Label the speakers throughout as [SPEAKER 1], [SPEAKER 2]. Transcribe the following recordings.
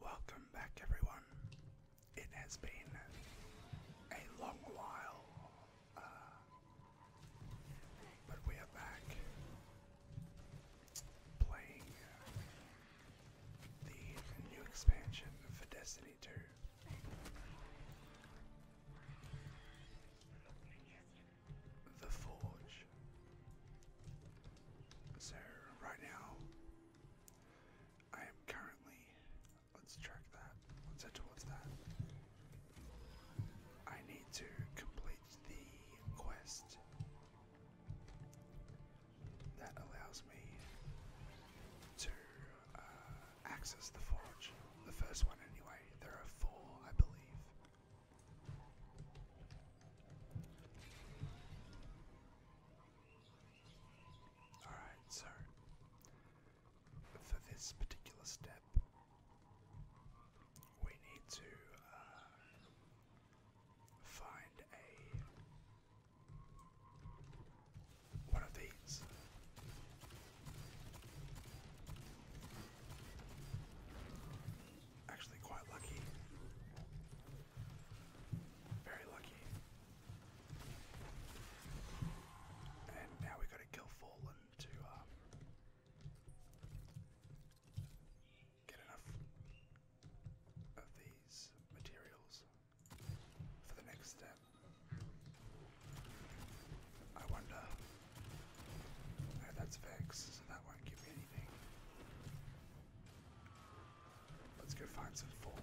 [SPEAKER 1] Welcome back, everyone. It has been a long while, uh, but we are back playing uh, the new expansion for Destiny 2. The Forge. So, right now, I am currently. Let's check that. Let's head towards that. I need to complete the quest that allows me to uh, access the forge. The first one, anyway. There are four, I believe. Alright, so for this particular step, we need to uh, find a one of these. Actually, quite lucky very lucky. And now we gotta kill Fallen to um, get enough of these materials for the next step. I wonder. No, that's Vex, so that won't give me anything. Let's go find some fallen.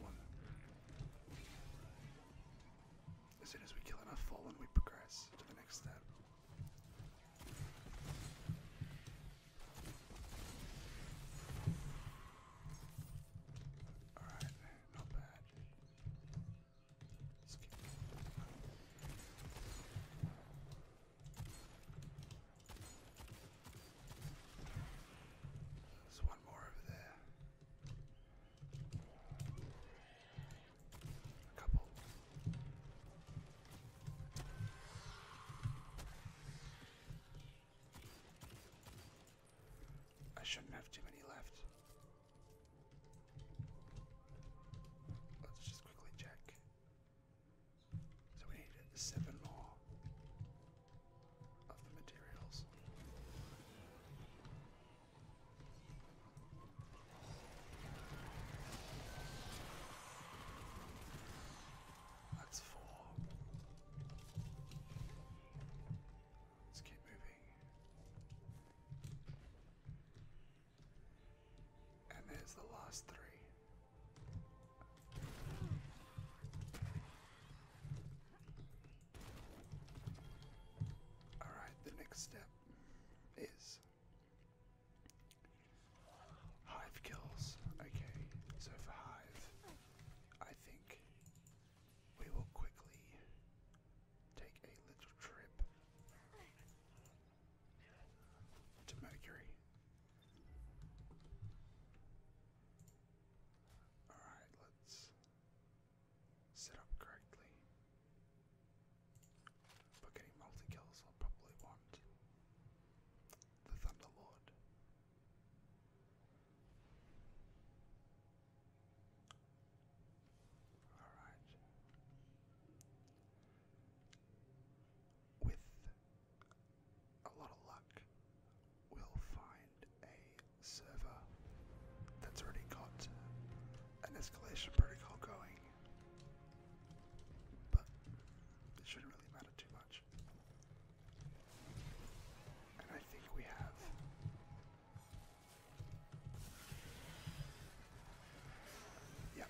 [SPEAKER 1] As soon as we kill enough fallen, we progress to the next step. Alright, not bad. Let's keep there's one more over there. A couple. I shouldn't have too many left. Let's just quickly check. So we need seven more of the materials. That's four. Let's keep moving. And there's the last three. Alright, the next step is hive kills. Okay, so for hive, I think we will quickly take a little trip to Mercury. Alright, let's set up correctly. But getting multi kills, I'll probably want the Thunderlord. Alright. With a lot of luck, we'll find a server that's already got an escalation protocol going. But it shouldn't really matter too much. And I think we have. Yep.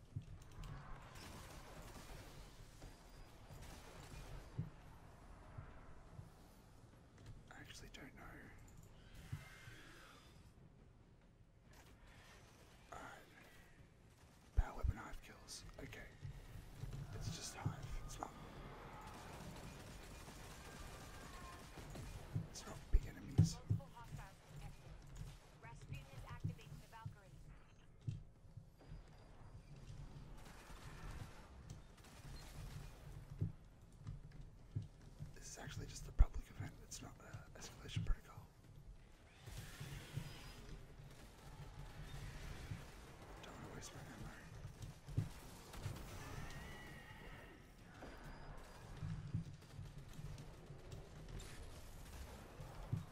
[SPEAKER 1] I actually don't know. Alright. Uh, power weapon hive kills. Okay. It's just hive. It's not It's not big enemies. This is actually just a public event, it's not an escalation protocol. Don't waste my ammo.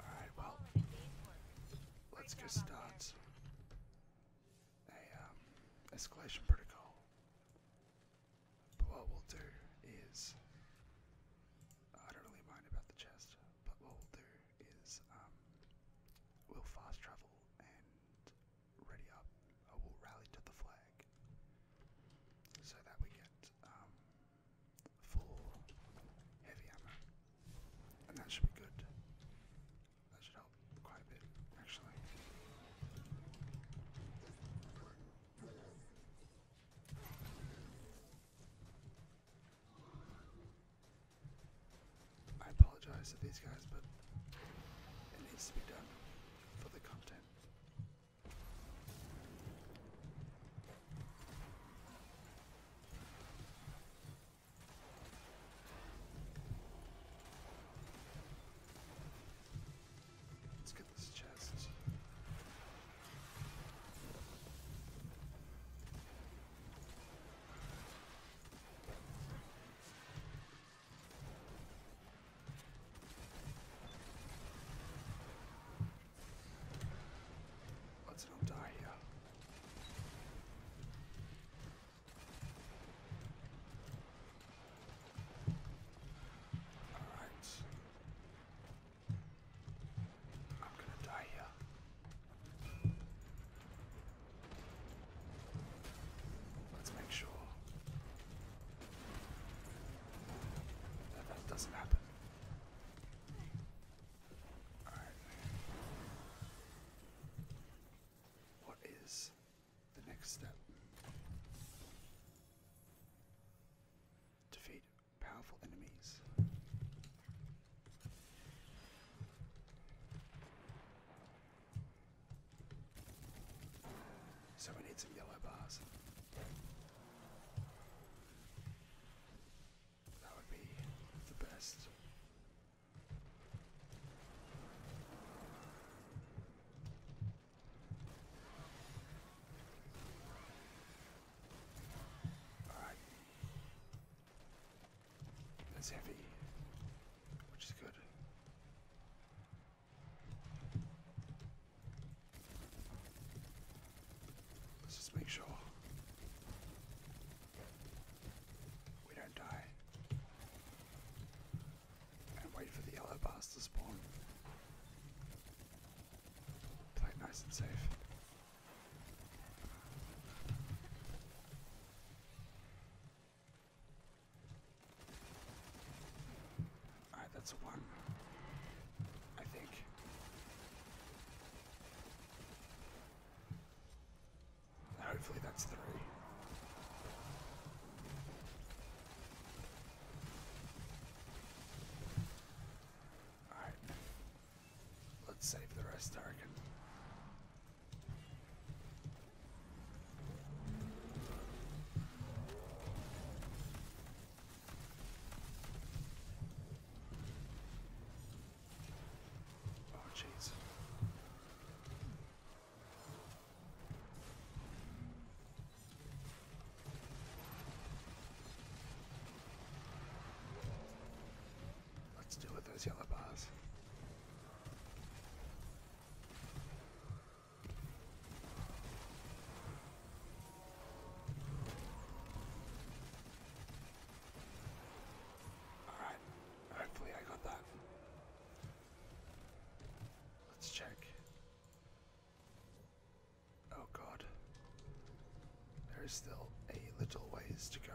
[SPEAKER 1] Alright, well, let's get started. A escalation protocol. But what we'll do is. Uh, I don't really mind about the chest, but what we'll do is um, we'll fast travel and ready up. Uh, will rally to the flag so that we get um, full heavy ammo, and that should be good. That should help quite a bit, actually. I apologize to these guys, but it needs to be done for the content. Let's get this chest. Let's not die here. All right. I'm going to die here. Let's make sure that, doesn't happen. What is the next step? Defeat powerful enemies. So we need some yellow bars. That would be the best. Alright. That's heavy, which is good. Let's just make sure we don't die. And wait for the yellow bars to spawn. Play nice and safe. Alright, that's one. I think. Hopefully that's three. Alright. Let's save the rest, I Oh, jeez. Let's deal with those yellow bars. Alright, hopefully I got that. Let's check. Oh god. There is still a little ways to go.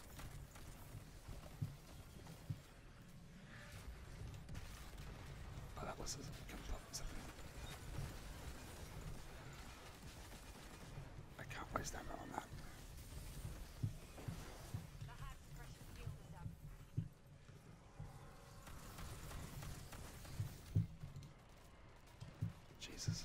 [SPEAKER 1] that was something. I can't waste ammo on that. Jesus.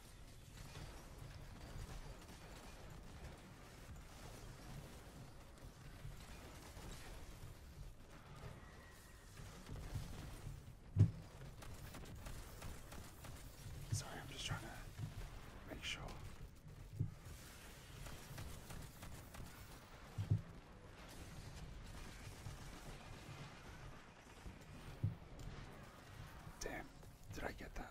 [SPEAKER 1] Sorry, I'm just trying to make sure. Damn, did I get that?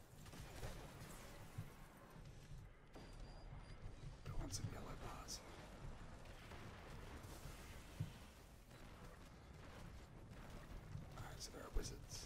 [SPEAKER 1] Who wants some yellow bars? Alright, so there are wizards.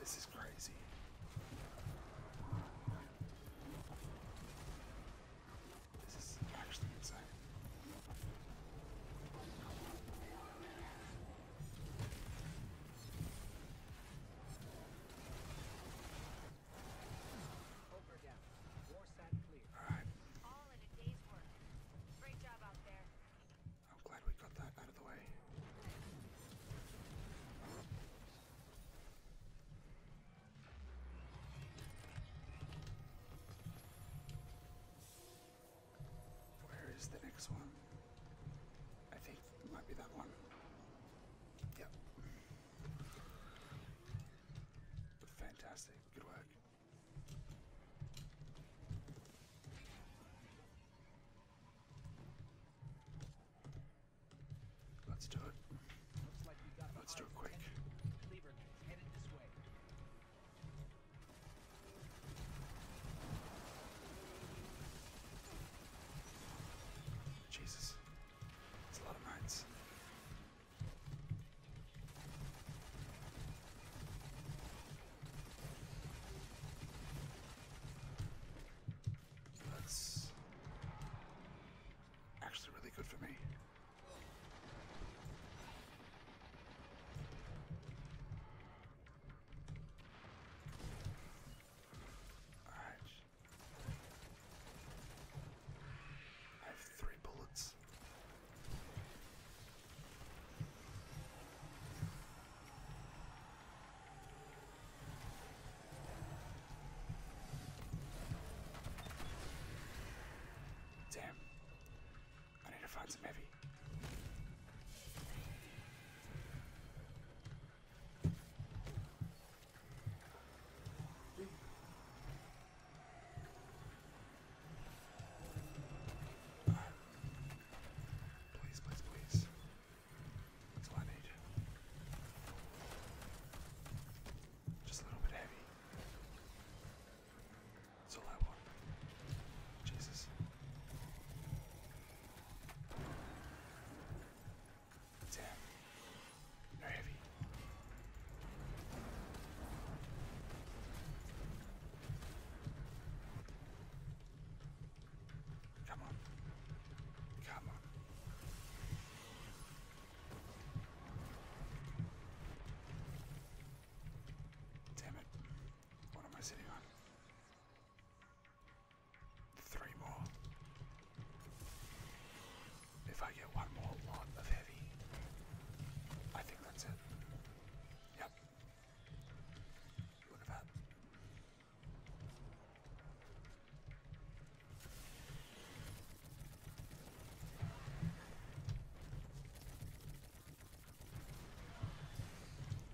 [SPEAKER 1] This is crazy. This is actually insane. Alright. All in a day's work. Great job out there. I'm glad we got that out of the way. Where is the next one? I think it might be that one. Yep fantastic. Good work. Let's do it. Let's do it quick. Jesus. That's a lot of mines. actually really good for me. All right. I have three bullets. Damn. I need to find some heavy. Please, please, please. That's all I need. Just a little bit heavy. That's all I want. Jesus. Damn. No heavy. Come on. Come on. Damn it. What am I sitting on? three more. If I get one more lot of heavy, I think that's it. Yep. Look at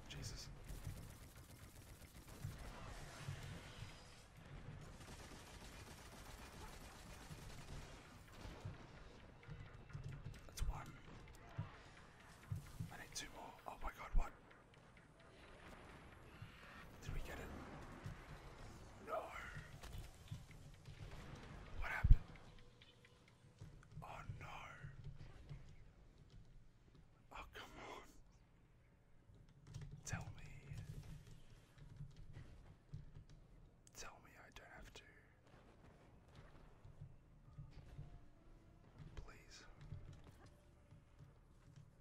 [SPEAKER 1] Jesus. That's one. I need two more. Oh my god, what? Did we get it? No. What happened? Oh no. Oh, come on. Tell me. Tell me I don't have to. Please.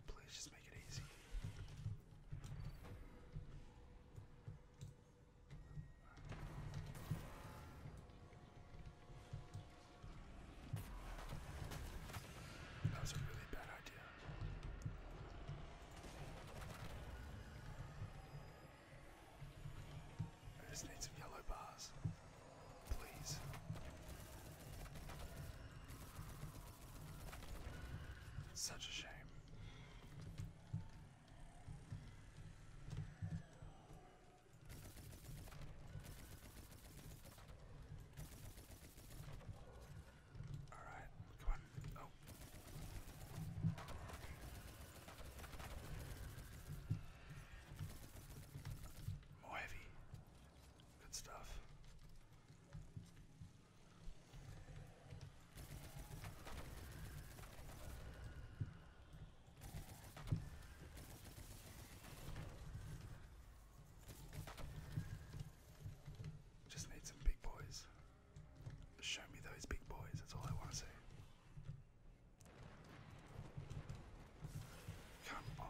[SPEAKER 1] Please just make it easy. That was a really bad idea. I just need some yellow bars, please. It's such a shame. Alright, come on. Oh. More heavy. Good stuff. Just need some big boys. Show me those big boys, that's all I want to see. Come on.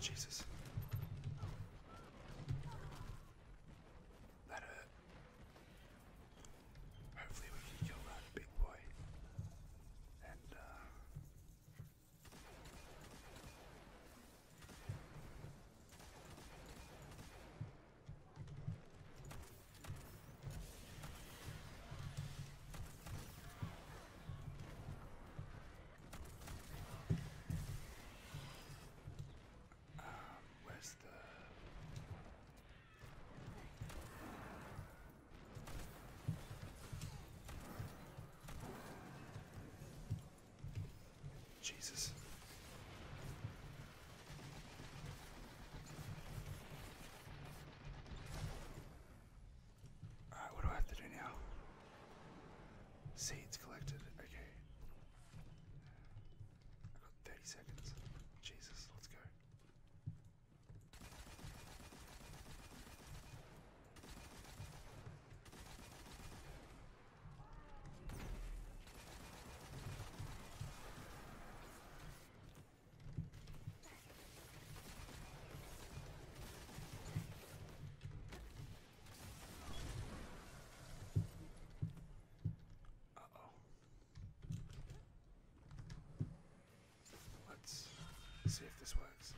[SPEAKER 1] Jesus. That hurt. Hopefully we can kill that big boy. And uh, where's the. Jesus. Alright, what do I have to do now? Seeds collected. Okay. I've got 30 seconds. Jesus, let's go. Uh-oh. Let's see if this works.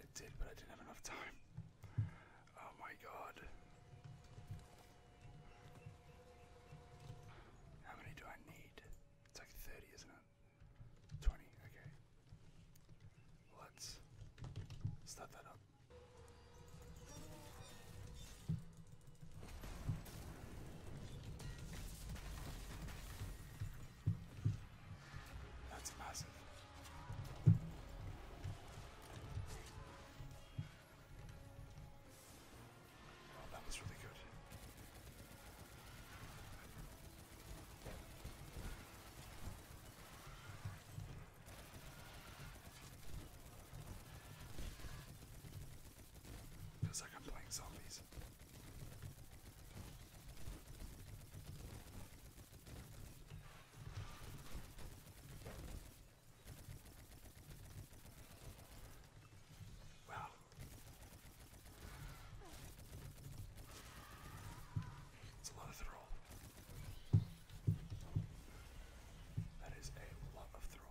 [SPEAKER 1] It did, but I didn't have enough time. Oh my god. How many do I need? It's like 30, isn't it? 20, okay. Let's that up. That's massive. Wow, oh, that was really good. Feels like I'm playing zombies. Wow. It's a lot of throw. That is a lot of throw.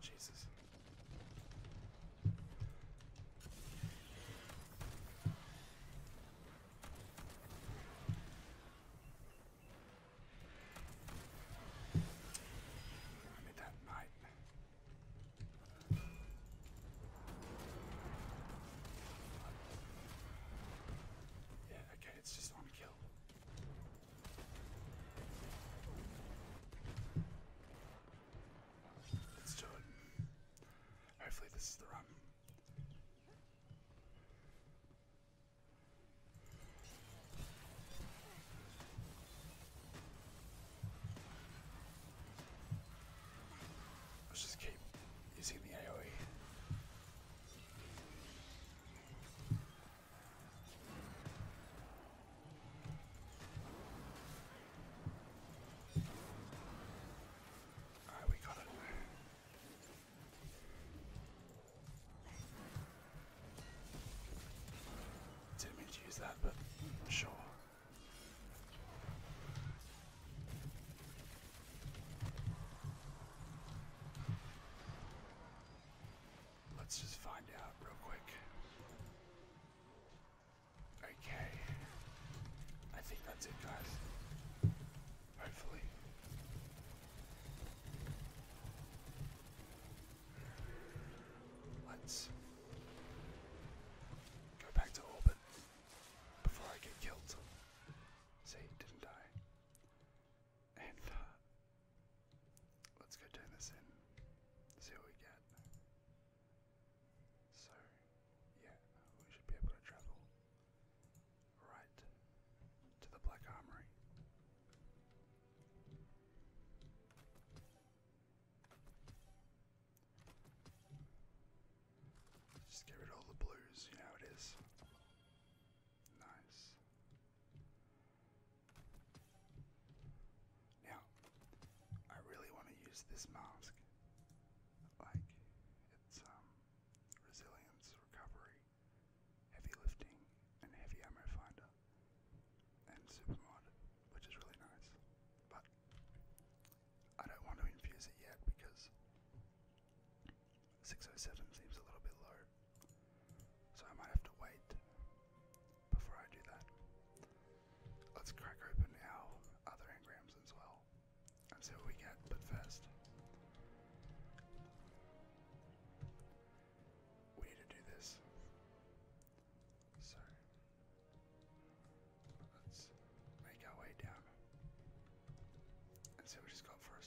[SPEAKER 1] Jesus. I made that night. Yeah, okay, it's just one kill. Let's do it. Hopefully this is the run. Let's just keep using the AoE. Alright, we got it. Didn't mean to use that, but sure. Let's just find out real quick. Okay. I think that's it, guys. Hopefully. Let's go back to orbit before I get killed. See, didn't I? And uh, let's go turn this in, see what we get. So, yeah, we should be able to travel right to the Black Armory. Just get rid of all the blues, you know it is. Nice. Now, I really want to use this mask. Like, it's um, resilience, recovery, heavy lifting, and heavy ammo finder, and supermod, which is really nice. But I don't want to infuse it yet because 607 seems a little bit low, so I might have to wait before I do that. Let's crack open our other engrams as well and see what we get, but first, we need to do this. So, let's make our way down and see what just got for Dare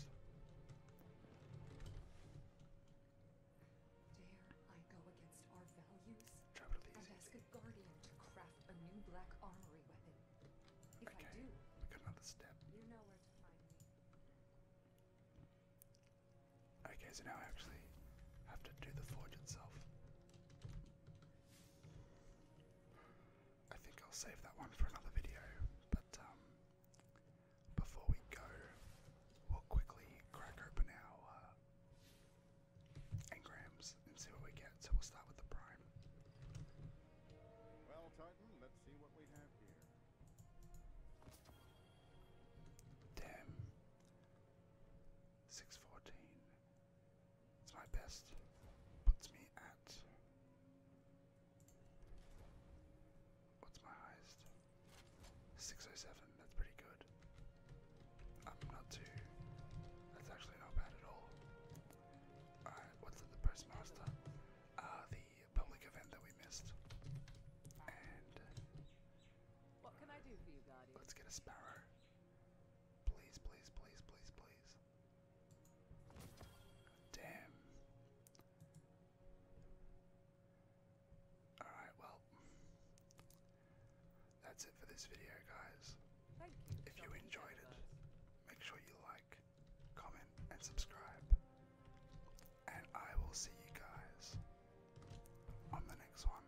[SPEAKER 1] I go against our values? i ask a guardian to craft a new black armory weapon. If I do, another step. You Okay, so now I actually have to do the forge itself. I think I'll save that one for another video. But um, before we go, we'll quickly crack open our uh, engrams and see what we get. So we'll start with the prime. Well, Titan, let's see what we have here. Damn. Six fourteen. It's my best. Puts me at. What's my highest? 607, that's pretty good. I'm not too. That's actually not bad at all. Alright, what's at the postmaster? Uh, the public event that we missed. And. What can I do for Let's get a sparrow. Please, please, please, please, please. Damn. Alright, well, that's it for this video, guys. if you enjoyed it, make sure you like, comment, and subscribe. And I will see you guys on the next one.